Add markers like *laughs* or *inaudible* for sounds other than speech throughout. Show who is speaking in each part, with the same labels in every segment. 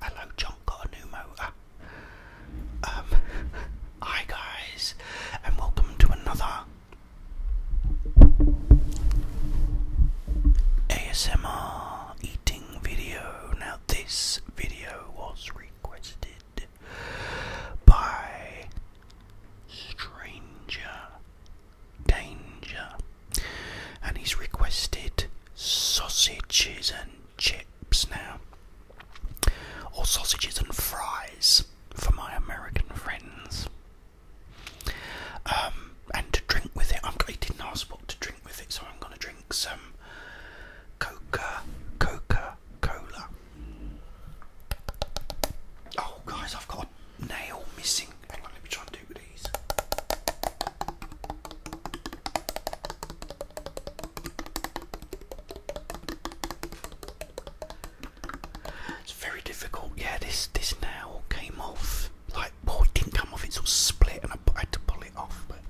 Speaker 1: Hello, John got a new motor. Um, hi, guys, and welcome to another ASMR eating video. Now, this video was requested by Stranger Danger and he's requested sausages and chips now, or sausages and fries for my American friends. Um, and to drink with it, i didn't ask what to drink with it, so I'm going to drink some Coca Cola. Oh, guys, I've got a nail missing it's very difficult. Yeah, this this now came off. Like, boy, it didn't come off. It sort of split, and I, I had to pull it off. But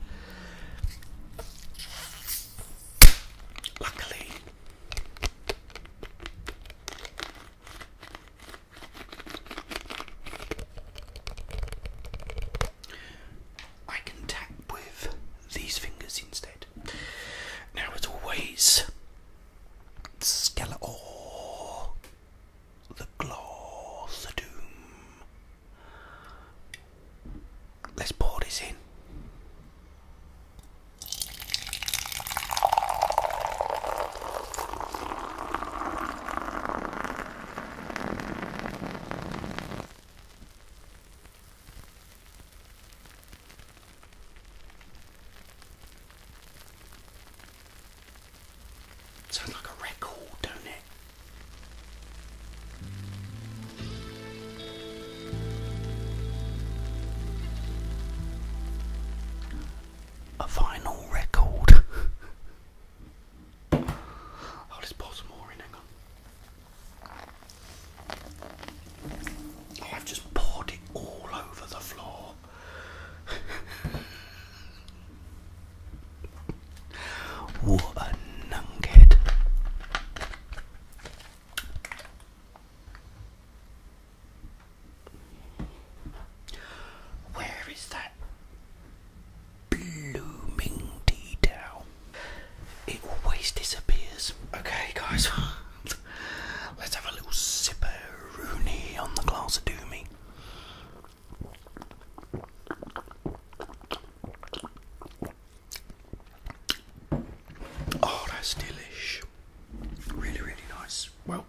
Speaker 1: luckily, I can tap with these fingers instead. Now, as always, Skeletor, the Gloss, the Doom. Let's pour this in. Sounds like a record, don't it? A vinyl record. *laughs* I'll oh, just pour some more in, hang on. Oh, I've just poured it all over the floor. *laughs* what a nunkhead. Where is that blooming tea towel? It always disappears. Okay, guys, *laughs* let's have a little sipperoonie on the glass of Doomie. Oh, that's delish. Really, really nice. Well,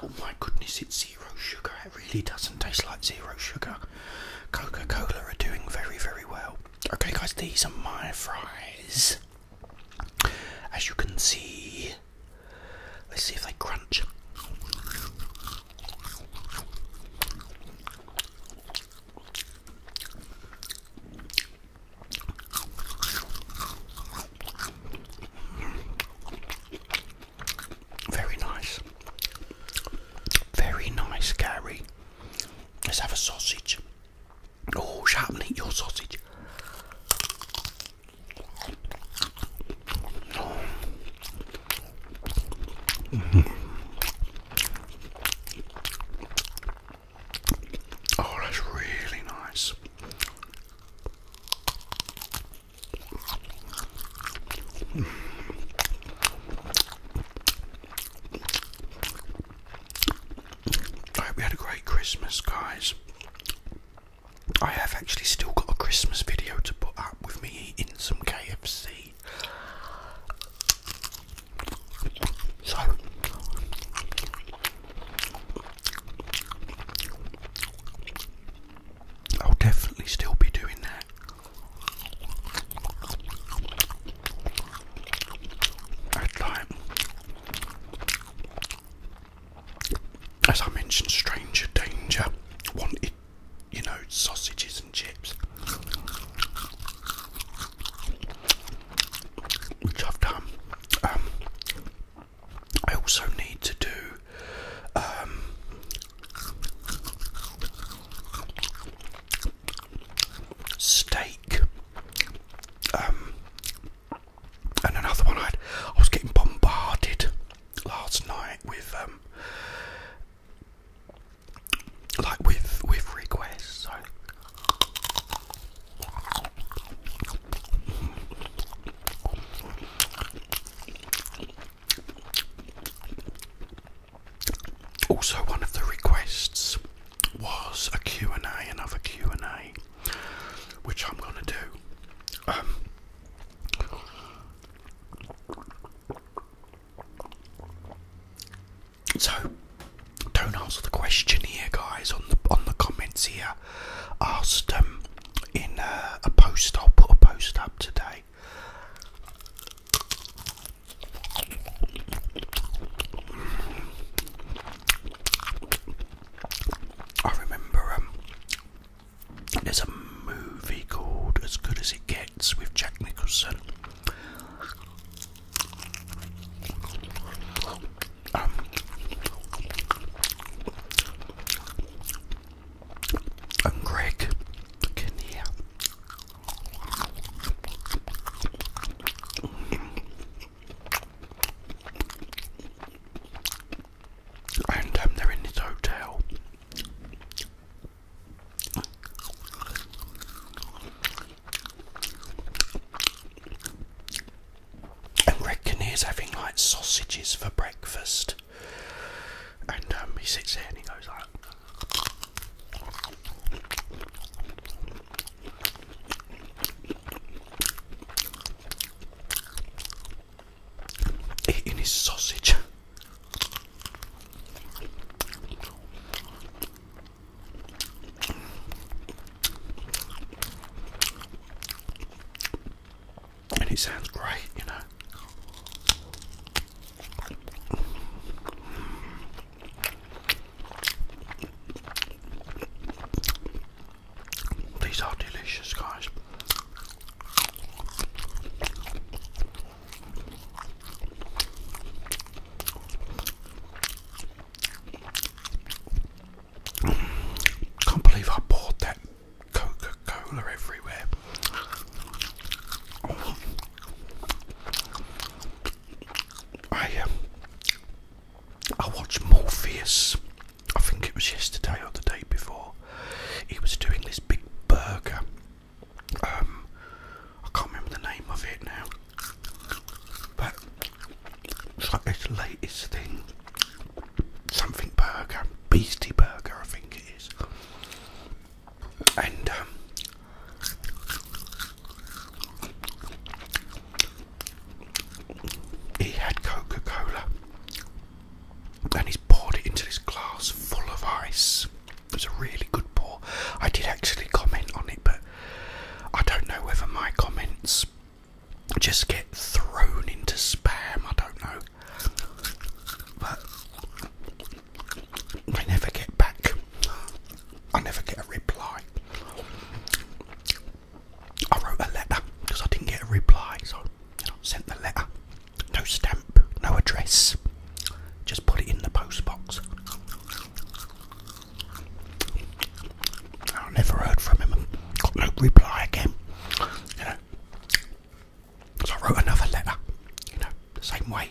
Speaker 1: Oh my goodness, it's zero sugar. It really doesn't taste like zero sugar. Coca Cola are doing very, very well. Okay, guys, these are my fries. As you can see, let's see if they crunch. Very nice. Very nice, Gary. Let's have a sausage. Oh, shut up eat your sausage. Oh, that's really nice. I hope you had a great Christmas, guys. I have actually still got a Christmas video to put up with me eating some KFC. So, I'll definitely still be doing that. as I mentioned, Stranger Danger wanted, you know, sausages and chips, which I've done. Um, I also need to do um, steak. Um, and another one, i had. I was getting bombarded last night with um, like with with requests. So also, one of the requests was a and a another Q&A, which I'm going to do. Um, so, don't answer the question here, guys. On the on the comments here, asked um in uh, a post. I'll put a post up today. I remember um, there's a movie called As Good as It Gets with Jack Nicholson. I'm um, Greg can hear. And um, they're in this hotel. And reckon he's having like sausages for breakfast. And um, he sits there and he goes like. Eating his sausage. And it sounds great, you know. These are delicious, guys. Can't believe I poured that Coca Cola everywhere. I um, I watched Morpheus. I think it was yesterday or the day before. He was doing this big burger. Um, I can't remember the name of it now. But it's like this latest thing, something burger, Beastie Burger, I think it is. And um, he had Coca Cola and he's poured it into this glass full of ice. It was a really good pour. I did actually comment on it, but I don't know whether my comments just get thrown into spam, I don't know. But I never get back. I never get a reply. I wrote a letter because I didn't get a reply, so I sent the letter. No stamp, no address. Just put it in the postbox. I never heard from him. Got no reply again. You know. I wrote another letter. You know, same way.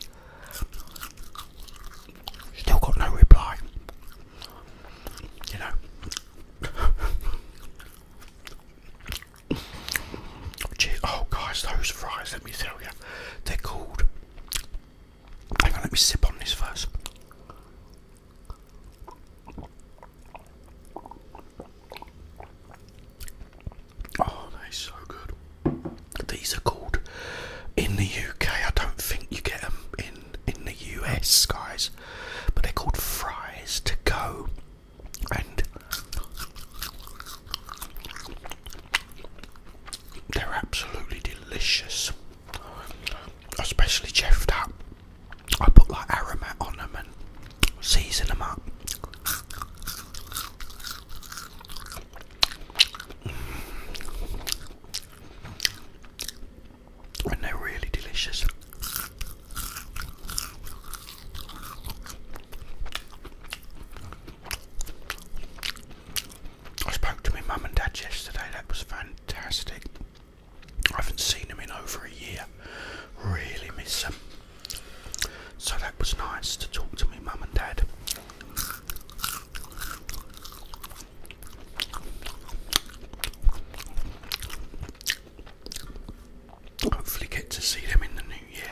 Speaker 1: Still got no reply. You know. *laughs* oh guys, those fries, let me tell you. They're cold. Hang on, let me sip on this first. Oh, that is so good. These are called in the UK. I don't think you get them in in the US, guys. But they're called fries to go, and they're absolutely delicious, especially chefed up. I put like aromat on them and season them up. And they're really delicious. I spoke to my mum and dad yesterday, that was fantastic. I haven't seen them in over a year, really miss them. So that was nice to talk to my mum and dad. Hopefully, get to see them in the new year.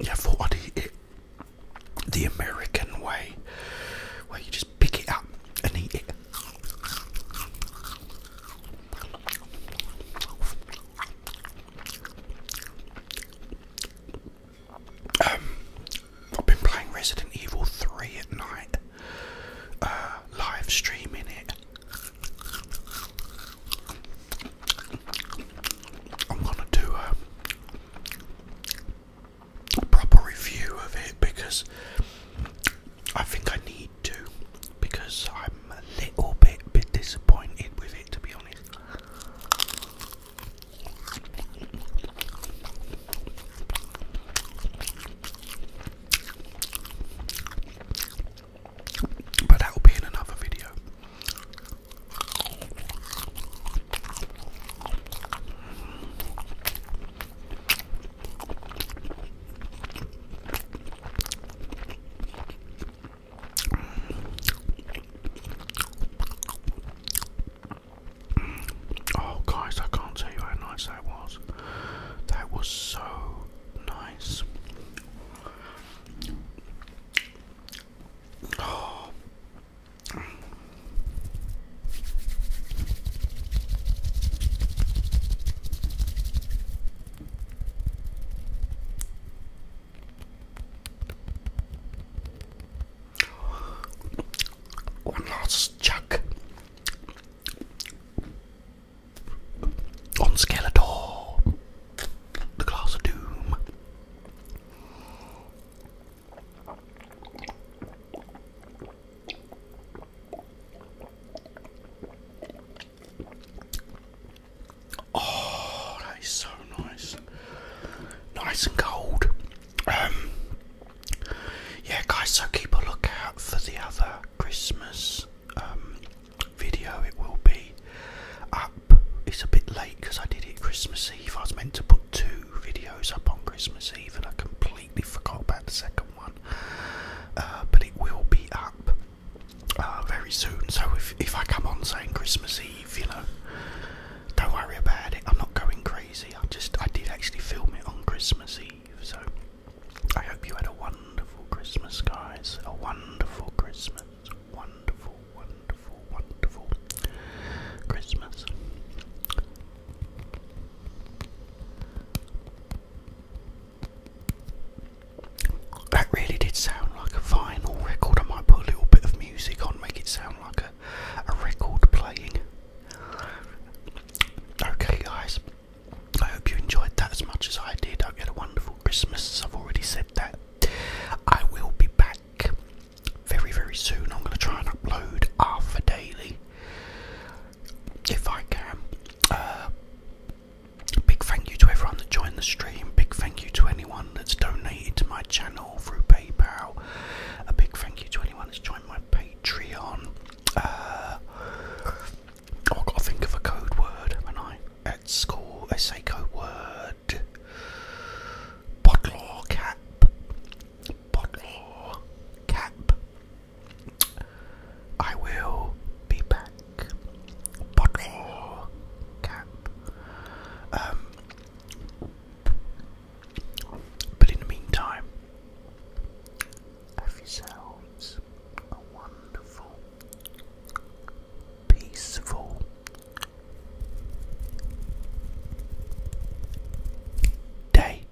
Speaker 1: Yeah, I thought I'd eat it the American way, where you just pick it up and eat it. Um, I've been playing Resident Evil 3 at night, uh, live streaming it. I'm gonna do a proper review of it because I think I need to because I'm a little bit bit disappointed with it to be honest. But that will be in another video. Oh, guys, I can't tell you how nice that was. That was so nice. One last chuck on Skeletor, the Glass of Doom. Oh, that is so nice. Nice and cold. Um, yeah, guys, so keep a lookout for the other Christmas um, video. It will be up. It's a bit late because I did it Christmas Eve. I was meant to put two videos up on Christmas Eve and I completely forgot about the second one. Uh, but it will be up Ah, very soon. So if if I come on saying Christmas Eve, you know, don't worry about it. I'm not going crazy. I just I did actually film it on Christmas Eve. So I hope you had a wonderful Christmas, guys. A wonderful Christmas. Wonderful, wonderful, wonderful Christmas. That really did sound like a vinyl record. I might put a little bit of music on, make it sound like a, a record playing. Okay, guys, I hope you enjoyed that as much as I did. I hope you had a wonderful Christmas. I've already said that. I will be back very, very soon. I'm going to try and upload half a daily if I can. Uh, Big thank you to everyone that joined the stream. Big thank you to anyone that's donated to my channel through PayPal. A big thank you to anyone that's joined my Patreon. Uh, I've got to think of a code word, have I? At score. Say code word. Botlaw cap. Botlaw cap. I will be back. Um, but in the meantime, have yourselves a wonderful, peaceful, day.